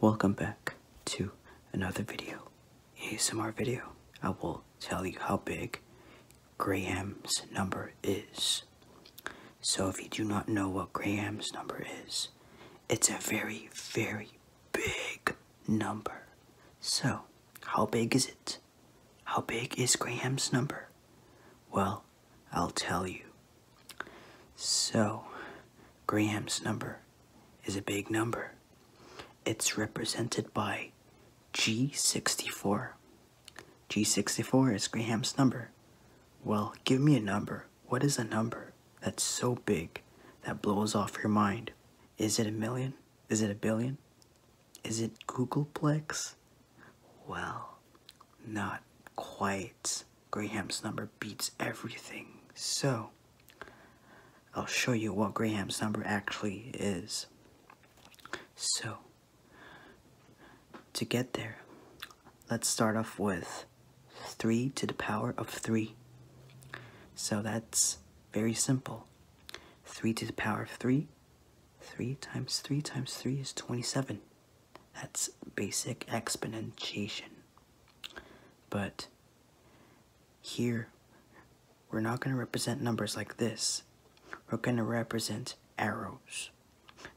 Welcome back to another video, ASMR video. I will tell you how big Graham's number is. So if you do not know what Graham's number is, it's a very, very big number. So, how big is it? How big is Graham's number? Well, I'll tell you so, Graham's number is a big number. It's represented by G64. G64 is Graham's number. Well, give me a number. What is a number that's so big that blows off your mind? Is it a million? Is it a billion? Is it Googleplex? Well, not quite. Graham's number beats everything. So, I'll show you what Graham's number actually is. So, to get there, let's start off with 3 to the power of 3. So that's very simple. 3 to the power of 3, 3 times 3 times 3 is 27. That's basic exponentiation. But here, we're not going to represent numbers like this. We're going to represent arrows.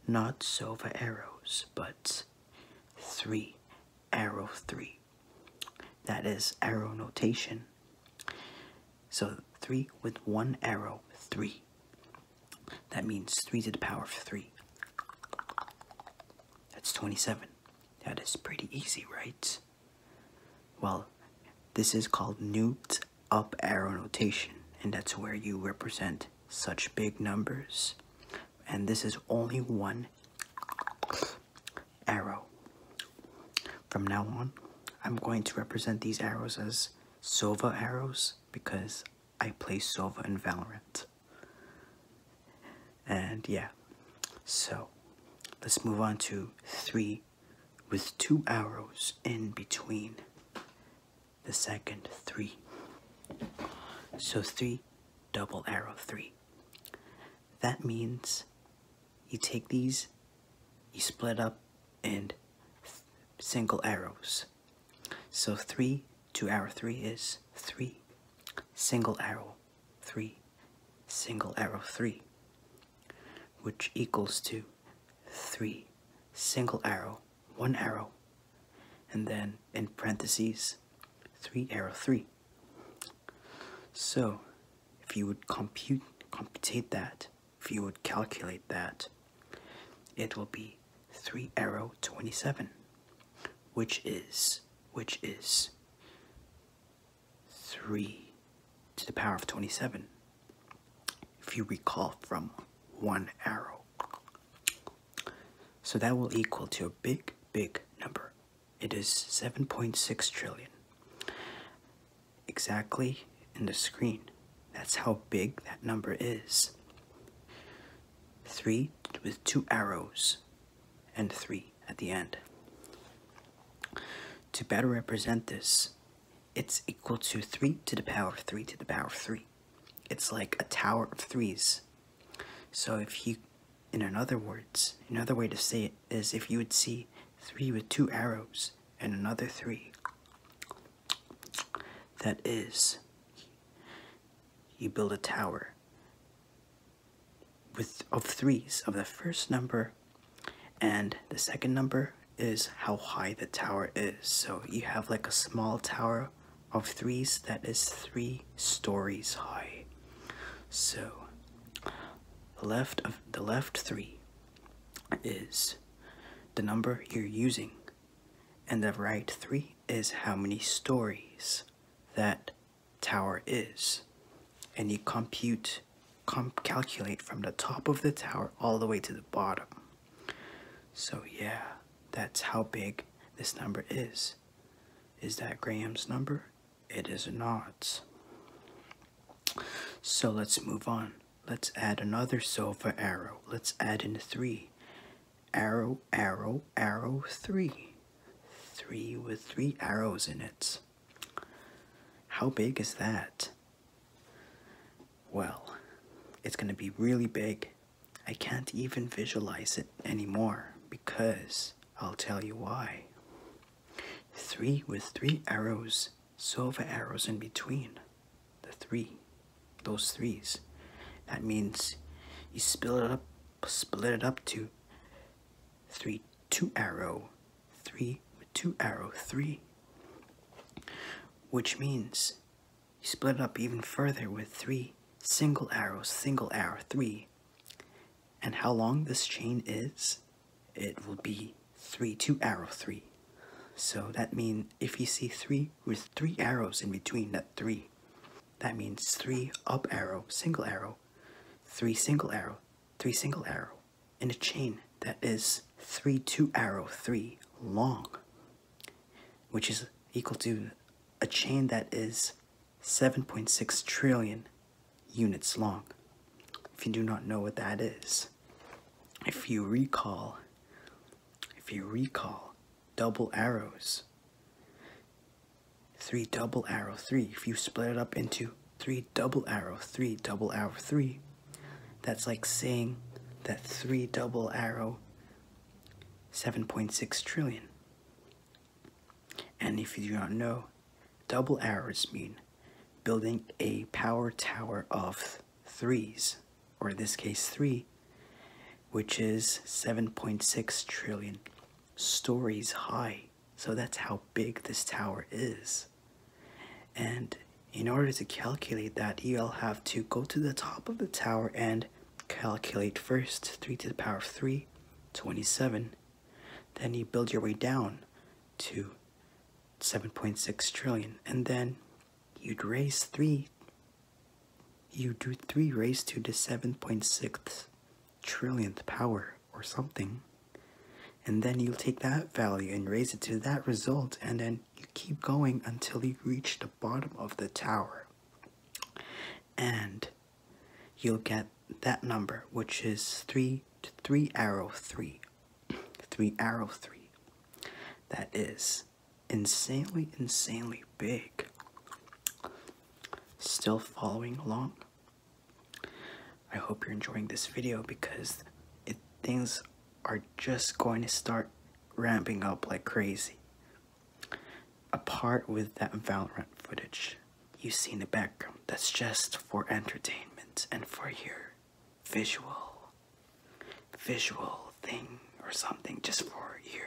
Not so silver arrows, but 3, arrow 3. That is arrow notation. So 3 with one arrow, 3. That means 3 to the power of 3. That's 27. That is pretty easy, right? Well, this is called Newton's up arrow notation, and that's where you represent such big numbers. And this is only one arrow. From now on, I'm going to represent these arrows as Sova arrows because I play Sova and Valorant. And yeah, so let's move on to three with two arrows in between the second three. So three, double arrow three. That means you take these, you split up and single arrows. So 3 two arrow 3 is 3, single arrow 3, single arrow 3, which equals to 3, single arrow, 1 arrow, and then in parentheses 3 arrow 3. So if you would compute computate that, if you would calculate that, it will be 3 arrow 27 which is which is 3 to the power of 27 if you recall from one arrow so that will equal to a big big number it is 7.6 trillion exactly in the screen that's how big that number is. Three with two arrows and three at the end. To better represent this, it's equal to 3 to the power of 3 to the power of 3. It's like a tower of threes. So if you, in other words, another way to say it is if you would see 3 with two arrows and another 3, that is, you build a tower with of threes of the first number and the second number is how high the tower is. So you have like a small tower of threes that is three stories high. So the left of the left three is the number you're using and the right 3 is how many stories that tower is. And you compute, calculate from the top of the tower all the way to the bottom. So yeah, that's how big this number is. Is that Graham's number? It is not. So let's move on. Let's add another silver arrow. Let's add in three. Arrow, arrow, arrow, three. Three with three arrows in it. How big is that? Well, it's going to be really big. I can't even visualize it anymore because I'll tell you why. Three with three arrows silver arrows in between the three, those threes. That means you split it up, split it up to three, two arrow, three, two arrow, three. Which means you split it up even further with three single arrows, single arrow, three. And how long this chain is it will be 3 two arrow 3. So that means if you see 3 with 3 arrows in between that 3, that means 3 up arrow, single arrow, 3 single arrow, 3 single arrow, in a chain that is 3 2 arrow 3 long, which is equal to a chain that is 7.6 trillion units long. If you do not know what that is, if you recall, if you recall, double arrows, three double arrow three, if you split it up into three double arrow three, double arrow three, that's like saying that three double arrow 7.6 trillion. And if you do not know, double arrows mean building a power tower of threes, or in this case, three, which is 7.6 trillion stories high. So that's how big this tower is. And in order to calculate that, you'll have to go to the top of the tower and calculate first 3 to the power of 3, 27. Then you build your way down to 7.6 trillion and then you'd raise 3 you do 3 raised to the 7.6 trillionth power or something and then you take that value and raise it to that result and then you keep going until you reach the bottom of the tower and you'll get that number which is 3 to 3 arrow 3 three arrow three. That is insanely, insanely big. Still following along? I hope you're enjoying this video because things are just going to start ramping up like crazy. Apart with that Valorant footage you see in the background that's just for entertainment and for your visual visual thing or something just for your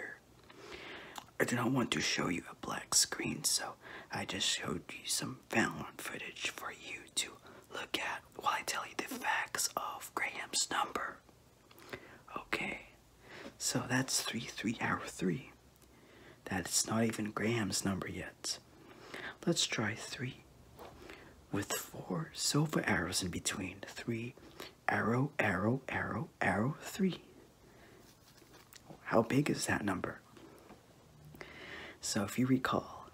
I do not want to show you a black screen so I just showed you some found footage for you to look at while I tell you the facts of Graham's number. Okay. So that's three, three, hour 3. That's not even Graham's number yet. Let's try three. With four silver arrows in between. Three, arrow, arrow, arrow, arrow, three. How big is that number? So if you recall,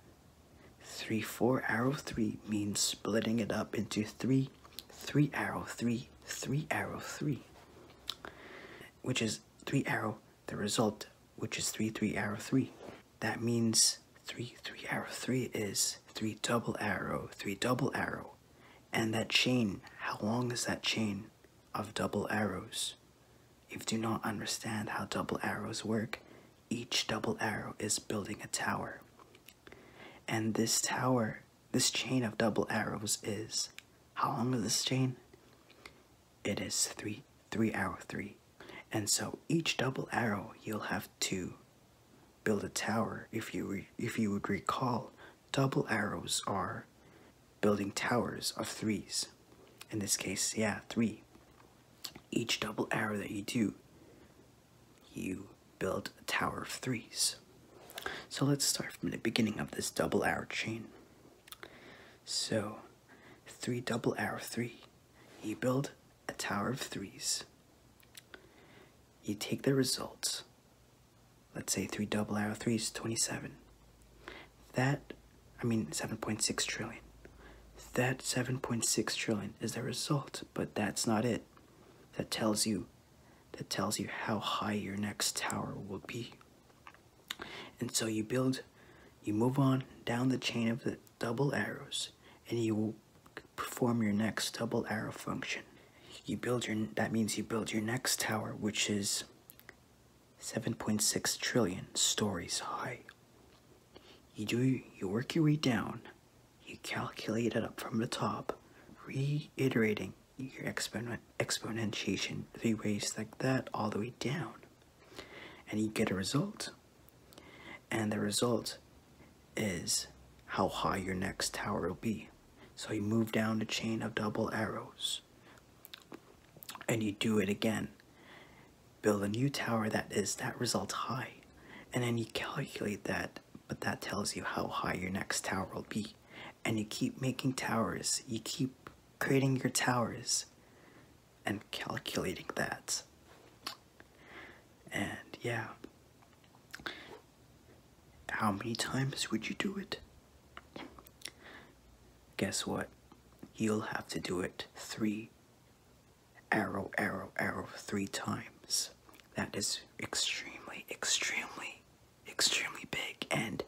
three, four, arrow, three means splitting it up into three, three, arrow, three, three, arrow, three, which is three, arrow, the result, which is 3, 3, arrow, 3. That means 3, 3, arrow, 3 is 3 double arrow, 3 double arrow. And that chain, how long is that chain of double arrows? If you do not understand how double arrows work, each double arrow is building a tower. And this tower, this chain of double arrows is, how long is this chain? it is three three arrow three and so each double arrow you'll have to build a tower if you if you would recall double arrows are building towers of threes in this case yeah three each double arrow that you do you build a tower of threes so let's start from the beginning of this double arrow chain so, three double arrow three. You build a tower of threes. You take the results. Let's say three double arrow three is 27. That, I mean 7.6 trillion. That 7.6 trillion is the result, but that's not it. That tells you, that tells you how high your next tower will be. And so you build, you move on down the chain of the double arrows, and you will perform your next double arrow function. You build your, that means you build your next tower, which is 7.6 trillion stories high. You do, you work your way down, you calculate it up from the top, reiterating your exponent exponentiation three ways like that all the way down and you get a result and the result is how high your next tower will be so you move down the chain of double arrows and you do it again build a new tower that is that result high and then you calculate that but that tells you how high your next tower will be and you keep making towers, you keep creating your towers and calculating that. And yeah, how many times would you do it? Guess what? You'll have to do it three arrow, arrow, arrow, three times. That is extremely, extremely extremely big and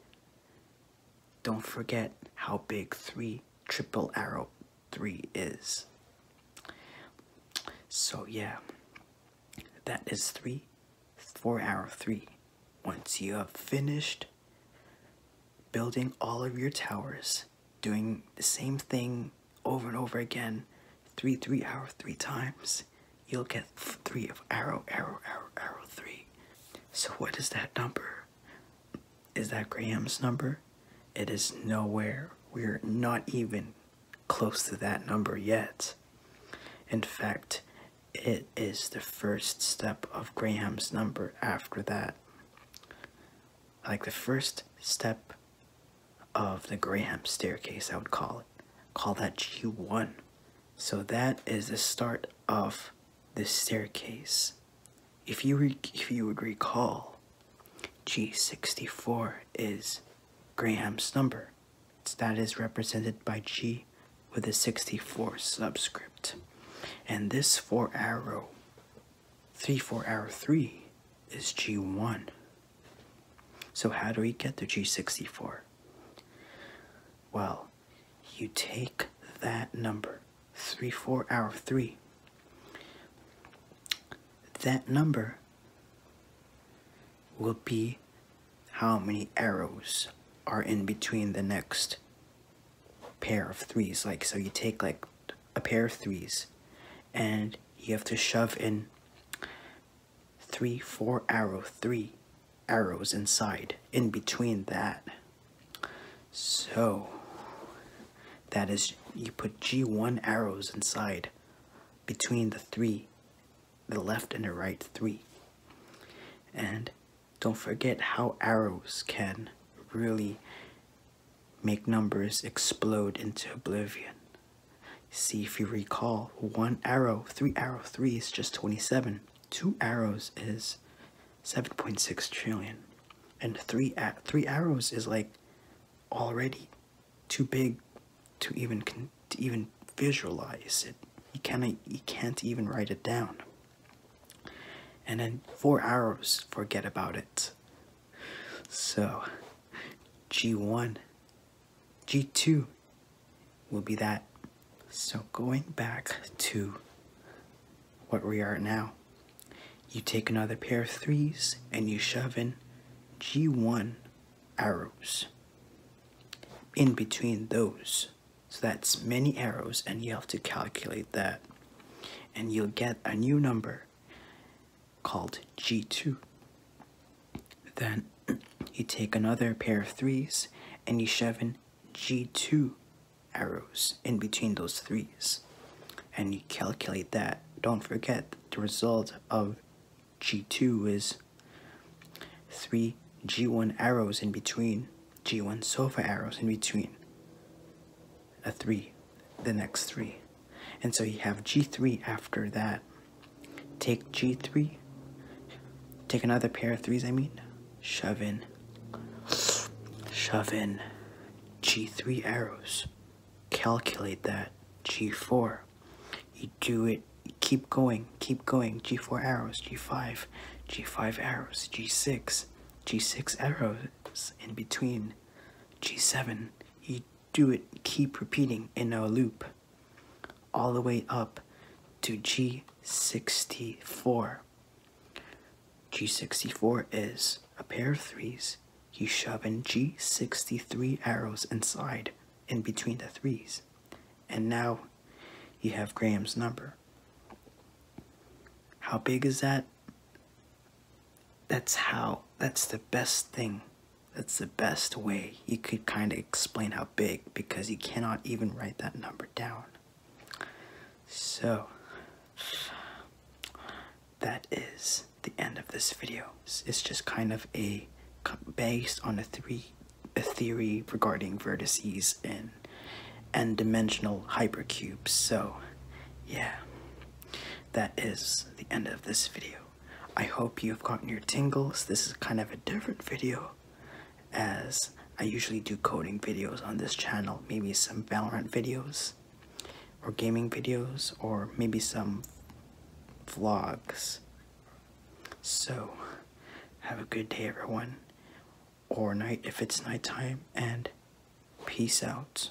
don't forget how big 3 triple arrow 3 is. So yeah, that is 3 4 arrow 3. Once you have finished building all of your towers, doing the same thing over and over again, 3 3 arrow 3 times, you'll get three of arrow, arrow, arrow, arrow, three. So what is that number? Is that Graham's number? It is nowhere. We're not even close to that number yet. In fact, it is the first step of Graham's number after that. Like the first step of the Graham staircase, I would call it. Call that G1. So that is the start of the staircase. If you if you would recall, G64 is Graham's number. that is represented by G with a 64 subscript. And this four arrow, three four arrow three, is G1. So, how do we get the G64? Well, you take that number, 3 4 hour 3. That number will be how many arrows are in between the next pair of threes. Like, so you take like a pair of threes and you have to shove in three, four arrow, three arrows inside, in between that. So, that is, you put G1 arrows inside, between the three, the left and the right three. And don't forget how arrows can really make numbers explode into oblivion. See if you recall, one arrow, three arrow, three is just 27. Two arrows is seven point six three, arrows is like already too big to even, to even visualize it. You, cannot, you can't even write it down. And then four arrows, forget about it. So, G1 G2 will be that. So going back to what we are now, you take another pair of threes and you shove in G1 arrows in between those. So that's many arrows and you have to calculate that. And you'll get a new number called G2. Then you take another pair of threes and you shove in G2 arrows in between those threes. And you calculate that. Don't forget the result of G2 is three G1 arrows in between, G1 sofa arrows in between a three, the next three. And so you have g3 after that. Take g3, take another pair of threes, I mean, shove in, shove in g3 arrows, calculate that, g4. You do it, keep going, keep going, g4 arrows, g5, g5 arrows, g6, g6 arrows in between, g7. You do it, keep repeating in a loop all the way up to G64. G64 is a pair of threes. You shove in G63 arrows inside, in between the threes. And now you have Graham's number. How big is that? that's how that's the best thing that's the best way you could kind of explain how big because you cannot even write that number down so that is the end of this video it's just kind of a based on a three a theory regarding vertices in n dimensional hypercubes so yeah that is the end of this video. I hope you've gotten your tingles. This is kind of a different video as I usually do coding videos on this channel, maybe some Valorant videos or gaming videos or maybe some vlogs. So, have a good day everyone or night if it's nighttime and peace out.